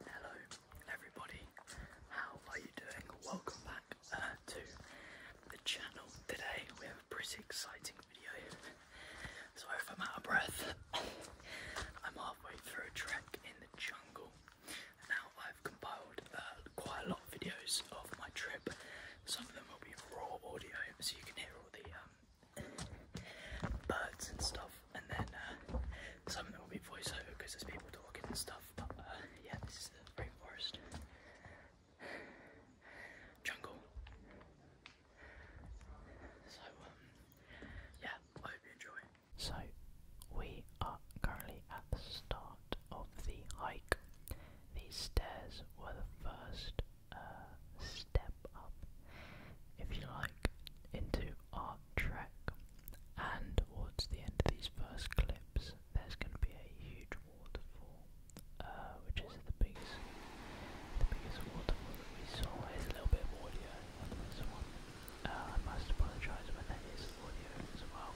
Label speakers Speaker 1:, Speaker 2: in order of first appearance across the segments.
Speaker 1: Hello everybody, how are you doing? Welcome back uh, to the channel. Today we have a pretty exciting video. Sorry if I'm out of breath. I'm halfway through a trek in the jungle. Now I've compiled uh, quite a lot of videos of my trip. Some of them will be raw audio, so you can hear all the um, birds and stuff, and then uh, some of them will be voiceover because there's people talking and stuff. But uh, yeah, this is the rainforest jungle. So um, yeah, I hope you enjoy. So we are currently at the start of the hike. These stairs were the first uh, step step up, if you like, into art track. And towards the end of these first clips, there's going to be a huge waterfall, uh, which is the biggest, the biggest waterfall that we saw. There's a little bit of audio on this one. Uh, I must apologise when there is audio as well.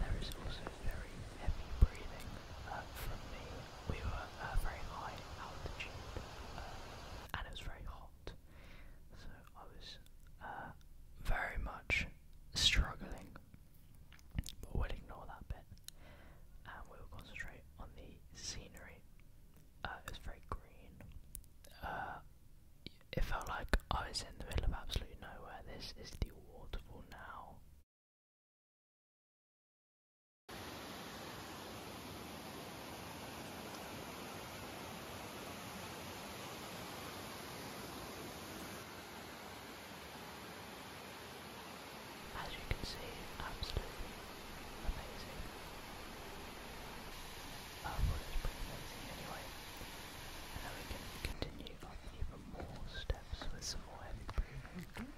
Speaker 1: There is also very heavy breathing uh, from me. We were uh, very high altitude and it was very hot, so I was uh, very much struggling. But we'll ignore that bit, and we'll concentrate on the scenery. Uh, it was very green. Uh, it felt like I was in the middle of absolutely nowhere. This is the waterfall now. As you can see, absolutely amazing. I thought it was pretty amazing anyway. And then we can continue on even more steps with some more heavy breathing.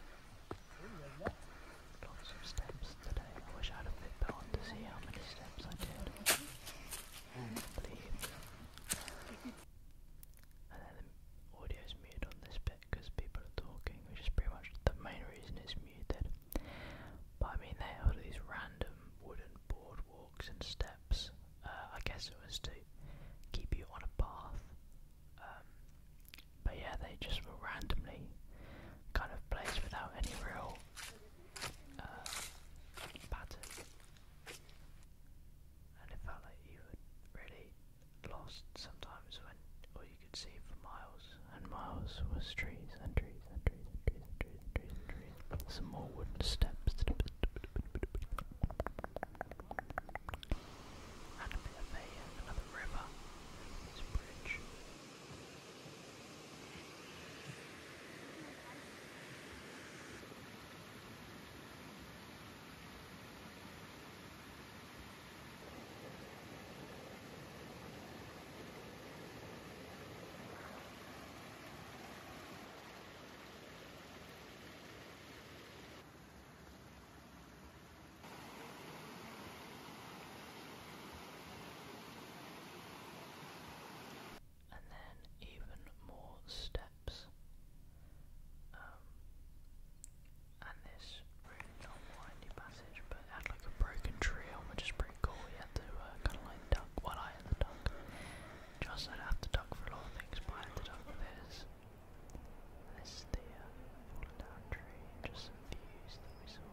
Speaker 1: Lots of steps today. I wish I had a Fitbit on to see how many steps I did. And then the audio's muted on this bit because people are talking, which is pretty much the main reason it's muted. But I mean, they are these random wooden boardwalks and steps. Uh, I guess it was to keep you on a path. Um, but yeah, they just were randomly kind of placed without any real uh, pattern. And it felt like you were really lost sometimes when all you could see for miles and miles was trees and trees and trees and trees and trees and trees and trees. And trees. Some more wooden steps and a bit of a, another river over this bridge. And then even more steps. Um, and this really long windy passage, but had like a broken trail, which is pretty cool. You had to uh, kind of like duck, well I had to duck. Just i have to duck for a lot of things, I had to duck for this. This the uh, fallen down tree, just some views that we saw.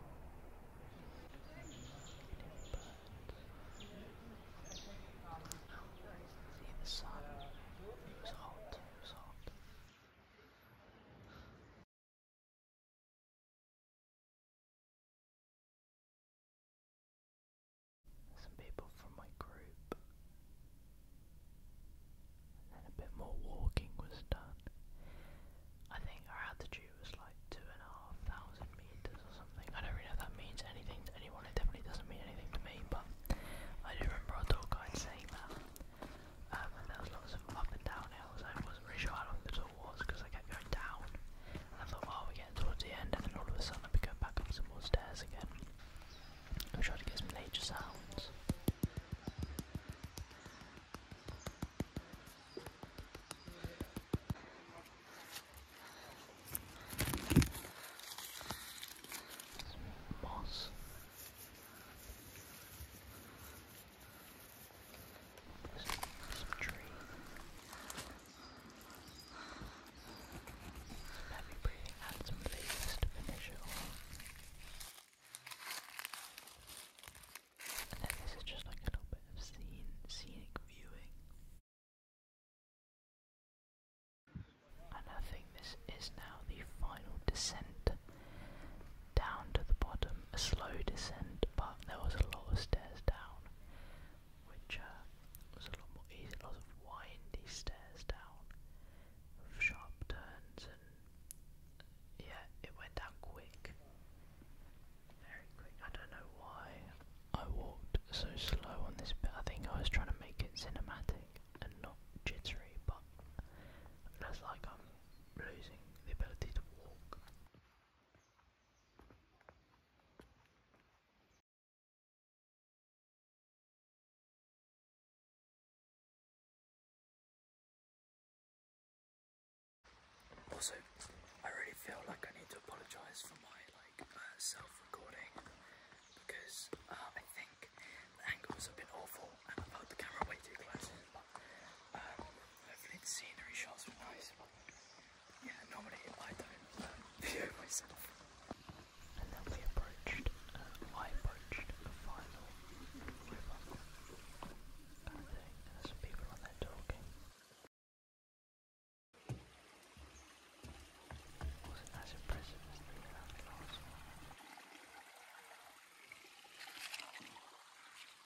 Speaker 1: the sun. It was hot. It was hot some people from my group. And a bit more walking was done. I think our altitude was like two and a half thousand meters or something. I don't really know if that means anything to anyone. It definitely doesn't mean anything to me, but I do remember our tour guide saying that. Um, and there was lots of up and down hills. I wasn't really sure how long the tour was because I kept going down. I thought, oh, we're getting towards the end, and then all of a sudden I'd be going back up some more stairs again. I'm trying to get some nature sounds. moss. Some, tree. Heavy breathing, add some lace to finish it And then this is just like a little bit of scenic viewing. And I think this is now the final descent down to the bottom. A slow descent, but there was a lot of stairs down which uh, was a lot more easy, lots of windy stairs down, sharp turns, and yeah, it went down quick, very quick. I don't know why I walked so slow on this I think I was trying to make it cinematic and not jittery, but that's like I'm losing the ability to walk. Also, I really feel like I need to apologise for my like uh, self-recording because uh, I think the angles have been awful and I've held the camera way too close But um, hopefully scenery shots were nice yeah, normally I don't uh, video myself. And then we approached, um, I approached the final I think there's people on there talking. It wasn't as impressive as the last one.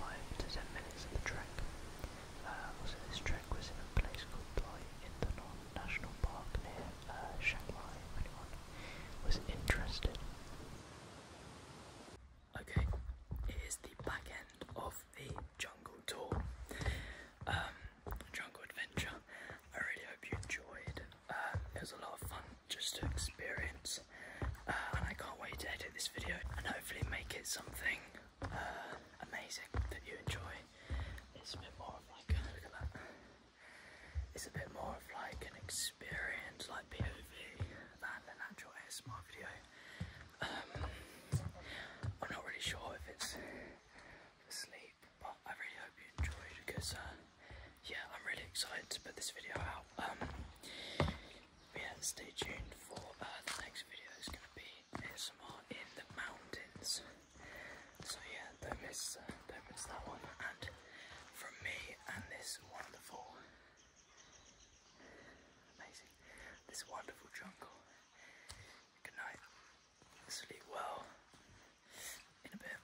Speaker 1: 5 to 10 minutes of the trek. Uh, also, this trek was in a place called Bloy in the Non National Park near uh, Shanghai, anyone was interested. Okay, it is the back end of the jungle tour, um, jungle adventure. I really hope you enjoyed. Um, it was a lot of fun just to experience. Uh, and I can't wait to edit this video and hopefully make it something uh, amazing that you enjoy. It's a bit more of like, look at that. It's a bit more of like an experience, like POV, than an actual ASMR video. Um, I'm not really sure if it's for sleep, but I really hope you enjoyed because. Uh, yeah, I'm really excited to put this video out. Um, yeah, stay tuned for uh, the next video. It's going to be ASMR in the mountains. So yeah, don't miss, uh, don't miss that one. And from me and this wonderful, amazing, this wonderful jungle. Good night. Sleep well. In a bit.